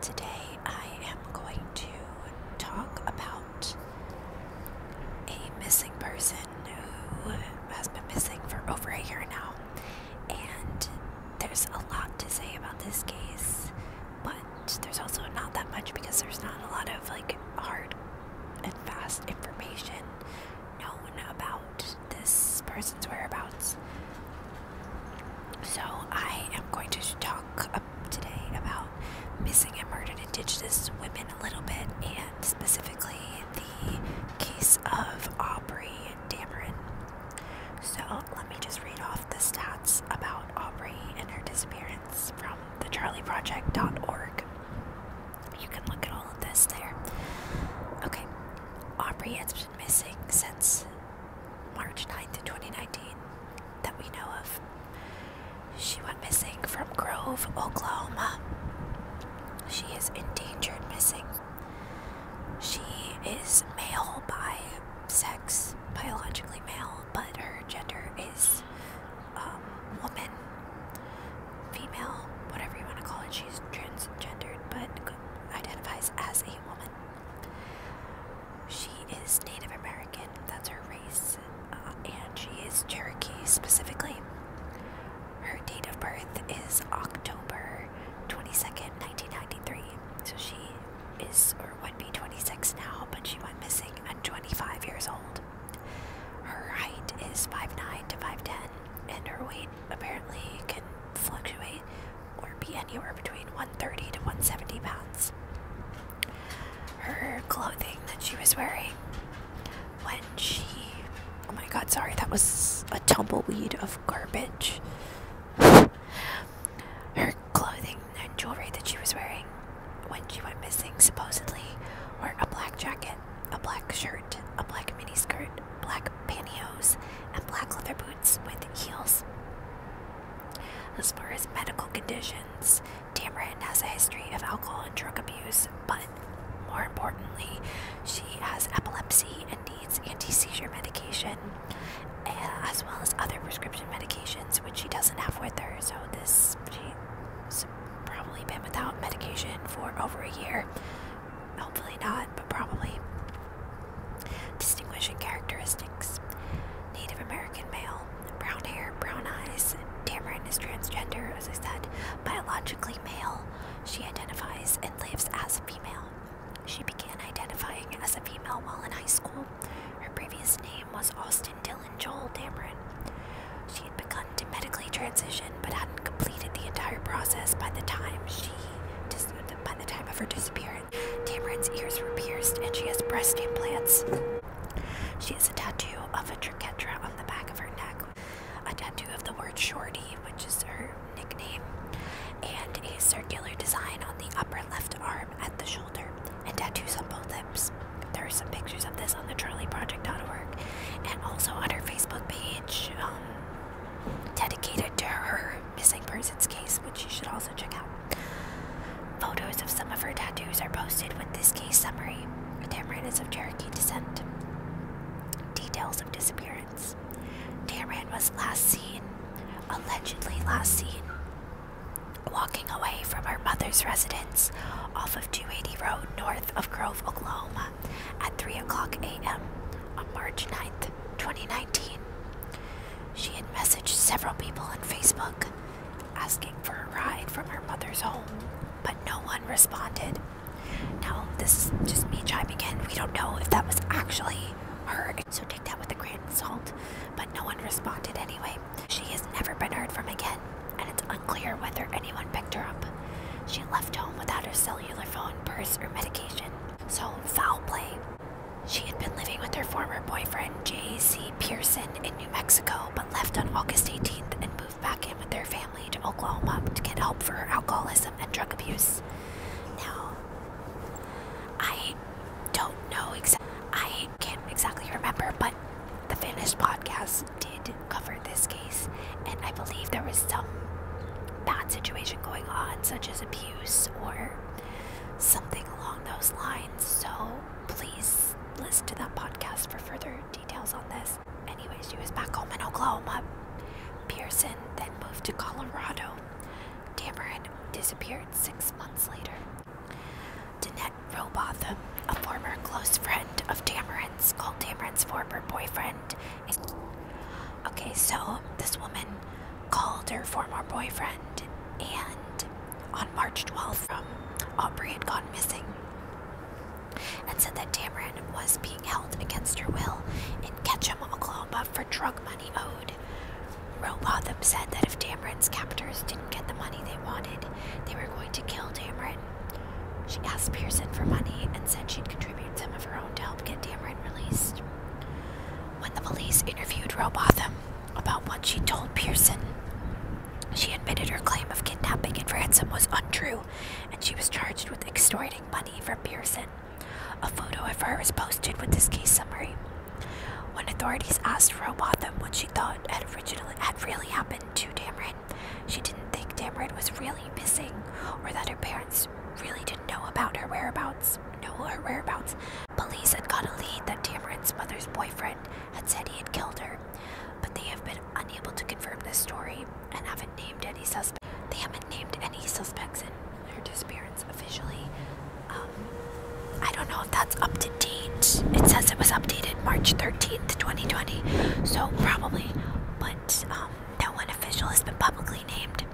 Today I am going to talk about a missing person who has been missing for over a year now. And there's a lot to say about this case, but there's also not that much because there's not a lot of like hard and fast information known about this person's whereabouts. So I am going to talk up today about missing and murdered Indigenous women a little bit, and specifically the case of Aubrey Dameron. So let me just read off the stats about Aubrey and her disappearance from thecharlieproject.org. You can look at all of this there. Okay, Aubrey has been missing since March 9th, 2019, that we know of. She went missing from Grove, Oklahoma. She is endangered missing. She is male by sex, biologically male, but her gender is um, woman, female, whatever you want to call it. She's transgendered, but identifies as a woman. She is Native American, that's her race, uh, and she is Cherokee specifically. Her date of birth is October 22nd, 1993. So she is, or would be 26 now, but she went missing at 25 years old. Her height is 5'9 to 5'10, and her weight apparently can fluctuate or be anywhere between 130 to 170 pounds. Her clothing that she was wearing when she. Oh my god, sorry, that was a tumbleweed of garbage. Her clothing and jewelry that she was wearing when she went missing, supposedly, were a black jacket, a black shirt, a black miniskirt, black pantyhose, and black leather boots with heels. As far as medical conditions, Tamarin has a history of alcohol and drug abuse, but more importantly, she has epilepsy and needs anti seizure medication, eh, as well as other prescription medications, which she doesn't have with her. So, this she's probably been without medication for over a year, Hopefully not, but probably. Distinguishing characteristics Native American male, brown hair, brown eyes. Dameron is transgender, as I said, biologically male. She identifies and lives as a female. She began identifying as a female while in high school. Her previous name was Austin Dylan Joel Dameron. She had begun to medically transition but hadn't completed the entire process by the time she by the time of her disappearance, Tamarin's ears were pierced and she has breast implants. She has a tattoo of a triquetra on the back of her neck, a tattoo of the word Shorty, which is her nickname, and a circular design on the upper left arm at the shoulder, and tattoos on both lips. There are some pictures of this on the Charlie Project.org, and also on her Facebook page. Um, dedicated to her missing persons case, which you should also check out. Photos of some of her tattoos are posted with this case summary. Tamran is of Cherokee descent. Details of disappearance. Tamran was last seen, allegedly last seen, walking away from her mother's residence off of 280 Road north of Grove, Oklahoma at 3 o'clock a.m. on March 9th. 2019. She had messaged several people on Facebook asking for a ride from her mother's home, but no one responded. Now, this is just me chiming in. We don't know if that was actually her, so take that with a grain of salt, but no one responded anyway. She has never been heard from again, and it's unclear whether anyone picked her up. She left home without her cellular phone, purse, or medication. So, foul play. She had been living with her former boyfriend, J.C. Pearson, in New Mexico, but left on August 18th and moved back in with their family to Oklahoma to get help for her alcoholism and drug abuse. Now, I don't know exactly, I can't exactly remember, but the finished podcast did cover this case, and I believe there was some bad situation going on, such as abuse or something along those lines. So please listen to that podcast for further details on this. Anyway, she was back home in Oklahoma. Pearson then moved to Colorado. Dameron disappeared six months later. Danette Robotham, a former close friend of Dameron's, called Dameron's former boyfriend okay, so this woman called her former boyfriend, and on March 12th, um, Aubrey had gone missing and said that Tamron was being held against her will in Ketchum, Oklahoma for drug money owed. Robotham said that if Tamron's captors didn't get the money they wanted, they were going to kill Tamron. She asked Pearson for money and said she'd contribute some of her own to help get Tamron released. When the police interviewed Robotham about what she told Pearson, she admitted her claim of kidnapping and ransom was untrue, and she was charged with extorting money from Pearson. A photo of her was posted with this case summary. When authorities asked Robotham what she thought had originally had really happened to Dameron, she didn't think Dameron was really missing or that her parents really didn't know about her whereabouts. Know her whereabouts. Police had got a lead that Tamron's mother's boyfriend had said he had killed her, but they have been unable to confirm this story and haven't named any suspects. They haven't named any suspects in her disappearance officially. Um, I don't know if that's up to date. It says it was updated March 13th, 2020, so probably, but um, no one official has been publicly named.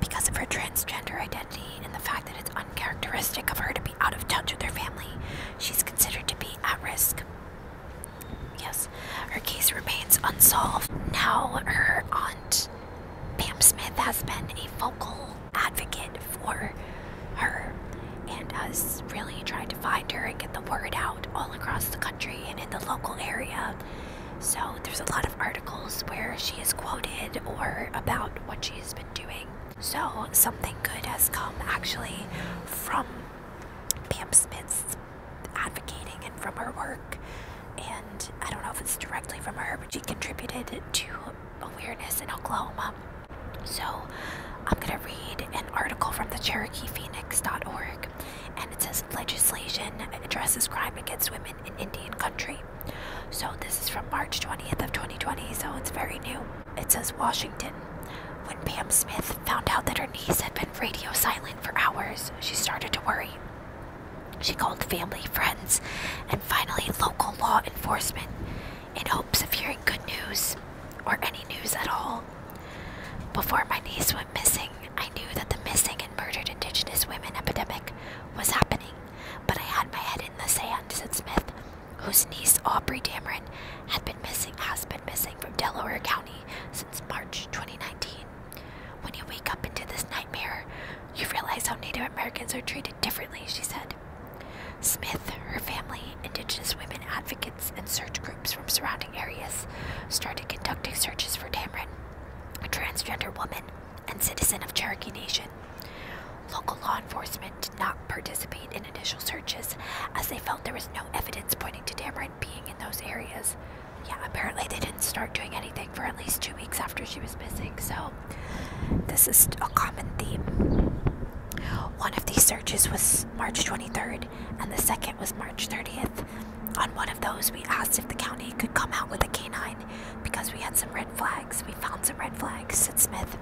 Because of her transgender identity and the fact that it's uncharacteristic of her to be out of touch with her family, she's considered to be at risk. Yes, her case remains unsolved. Now, her aunt, Pam Smith, has been a vocal advocate for her and has really tried to find her and get the word out all across the country and in the local area so there's a lot of articles where she is quoted or about what she has been doing. So something good has come actually from Pam Smith's advocating and from her work. And I don't know if it's directly from her, but she contributed to awareness in Oklahoma. So I'm going to read an article from the CherokeePhoenix.org and it says legislation addresses crime against women in Indian country. So this is from March 20th of 2020, so it's very new. It says Washington. When Pam Smith found out that her niece had been radio silent for hours, she started to worry. She called family, friends, and finally local law enforcement in hopes of hearing good news or any news at all. Before my niece went missing, I knew that the missing and murdered Indigenous women epidemic was happening, but I had my head in the sand, said Smith, whose niece Aubrey Dameron had been missing, has been missing from Delaware County since March 2019. When you wake up into this nightmare, you realize how Native Americans are treated differently, she said. Smith, her family, Indigenous women advocates, and search groups from surrounding areas started conducting searches for Tamron, a transgender woman and citizen of Cherokee Nation. Local law enforcement did not participate in initial searches as they felt there was no evidence pointing to Tamron being in those areas. Yeah, apparently they didn't start doing anything for at least two weeks after she was missing, so this is a common theme. One of these searches was March 23rd, and the second was March 30th. On one of those, we asked if the county could come out with a canine because we had some red flags. We found some red flags, said Smith.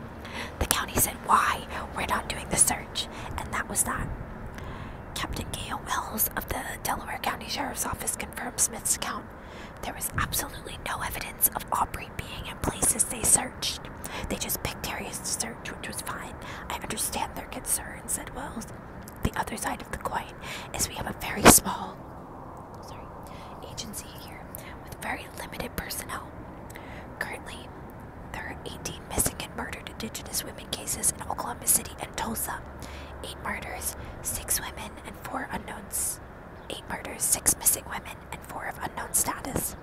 The county said, Why? We're not doing the search. And that was that. Captain Gail Wells of the Delaware County Sheriff's Office confirmed Smith's account. There was absolutely no evidence of Aubrey being in places they searched. They just picked areas to search, which was fine. I understand their concern, said Wells the other side of the coin is we have a very small sorry, agency here with very limited personnel. Currently, there are 18 missing and murdered Indigenous women cases in Oklahoma City and Tulsa. Eight murders, six women, and four unknowns. Eight murders, six missing women, and four of unknown status.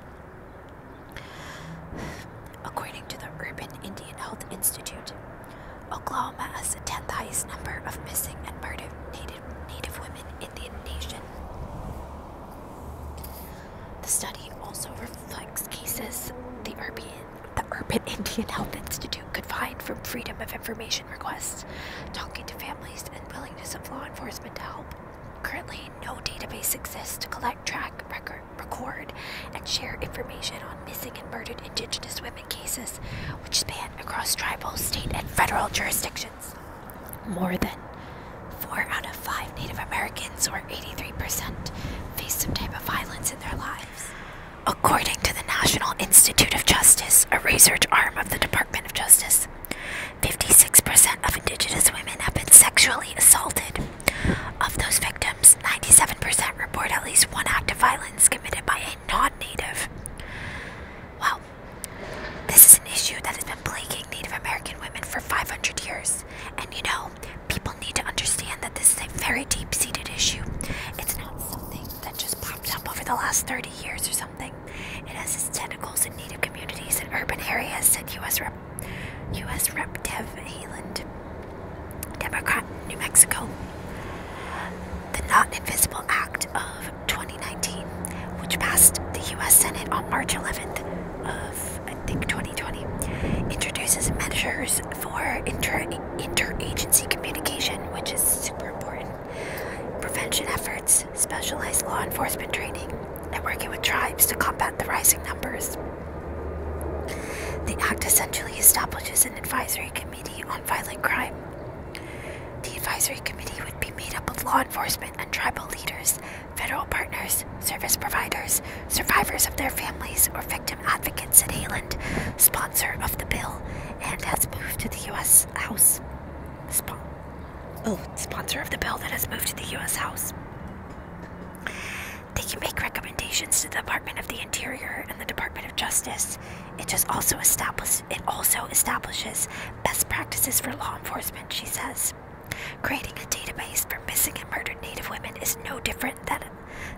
According to the Urban Indian Health Institute, Oklahoma has the 10th highest number of missing and murdered Native, Native women in the nation. The study also reflects cases the Urban, the Urban Indian Health Institute could find from Freedom of Information requests, talking to families, and willingness of law enforcement to help. Currently, no database exists to collect, track, records record, and share information on missing and murdered Indigenous women cases, which span across tribal, state, and federal jurisdictions. More than four out of five Native Americans, or 83%, face some type of violence in their lives. According to the National Institute of Justice, a research arm of the Department of Justice, 56% of Indigenous women have been sexually assaulted of those victims, 97% report at least one act of violence committed by a non-native. Well, this is an issue that has been plaguing Native American women for 500 years. And you know, people need to understand that this is a very deep-seated issue. It's not something that just popped up over the last 30 years or something. It has its tentacles in Native communities in urban areas, said U.S. U.S. Rep. Dev Haland, Democrat, New Mexico. The Not Invisible Act of 2019, which passed the U.S. Senate on March 11th of, I think, 2020, introduces measures for inter interagency communication, which is super important, prevention efforts, specialized law enforcement training, and working with tribes to combat the rising numbers the Act essentially establishes an advisory committee on violent crime. The advisory committee would be made up of law enforcement and tribal leaders, federal partners, service providers, survivors of their families, or victim advocates in Hayland, sponsor of the bill, and has moved to the U.S. House. oh, sponsor of the bill that has moved to the U.S. House. They can make recommendations to the Department of the Interior and the Department of Justice. It just also establishes best practices for law enforcement, she says. Creating a database for missing and murdered Native women is no different than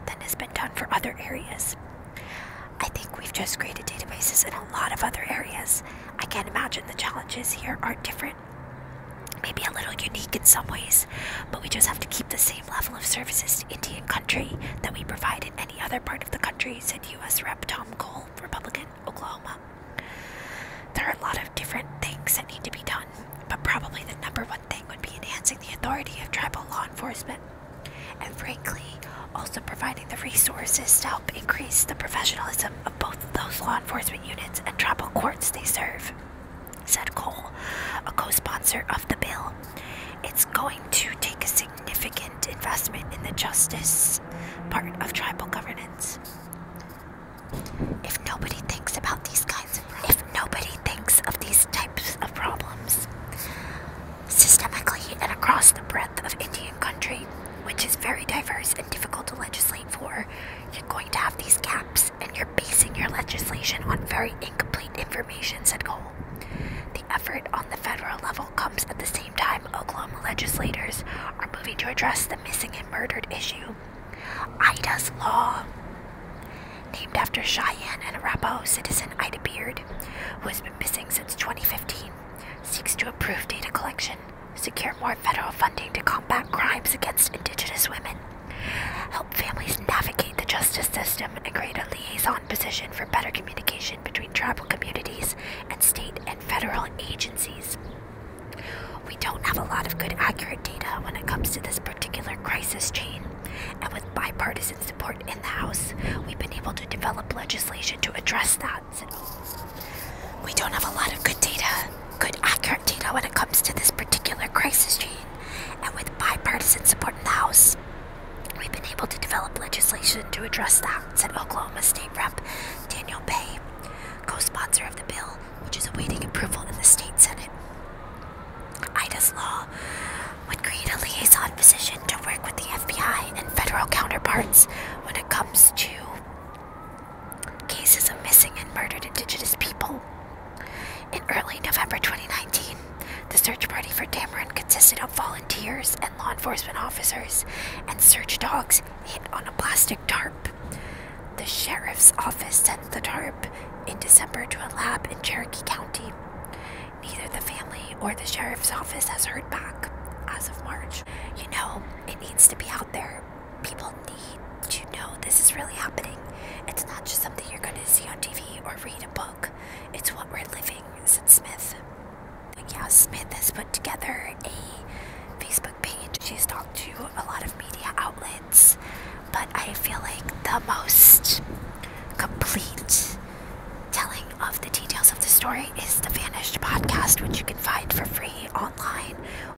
than has been done for other areas. I think we've just created databases in a lot of other areas. I can't imagine the challenges here are different maybe a little unique in some ways, but we just have to keep the same level of services to Indian country that we provide in any other part of the country, said U.S. Rep Tom Cole, Republican, Oklahoma. There are a lot of different things that need to be done, but probably the number one thing would be enhancing the authority of tribal law enforcement. And frankly, also providing the resources to help increase the professionalism of both those law enforcement units and tribal courts they serve said Cole, a co sponsor of the bill. It's going to take a significant investment in the justice part of tribal governance. If nobody thinks about these kinds of if nobody thinks of these types of problems systemically and across the breadth of Indian country, which is very diverse and difficult to legislate for, you're going to have these gaps, and you're basing your legislation on very incomplete information, said Cole. The effort on the federal level comes at the same time Oklahoma legislators are moving to address the missing and murdered issue. Ida's Law, named after Cheyenne and Arapaho citizen Ida Beard, who has been missing since 2015, seeks to improve data collection, secure more federal funding to combat crimes against Indigenous women, Help families navigate the justice system and create a liaison position for better communication between tribal communities and state and federal agencies. We don't have a lot of good accurate data when it comes to this particular crisis chain, and with bipartisan support in the House, we've been able to develop legislation to address that. We don't have a lot of good data good accurate data when it comes to this particular crisis gene, and with bipartisan support in the House, we've been able to develop legislation to address that, said Oklahoma State Rep Daniel Bay, co sponsor of the bill, which is awaiting approval in the State Senate. IDA's law would create a liaison position to work with the FBI and federal counterparts when it comes to cases of missing and murdered indigenous people. In early November 2019, the search party for Dameron consisted of volunteers and law enforcement officers, and search dogs hit on a plastic tarp. The sheriff's office sent the tarp in December to a lab in Cherokee County. Neither the family or the sheriff's office has heard back as of March. You know, it needs to be out there. People people need to know this is really happening. It's not just something you're going to see on TV or read a book, it's what we're living, said Smith. Yeah, Smith has put together a Facebook page. She's talked to a lot of media outlets, but I feel like the most complete telling of the details of the story is the Vanished podcast, which you can find for free online.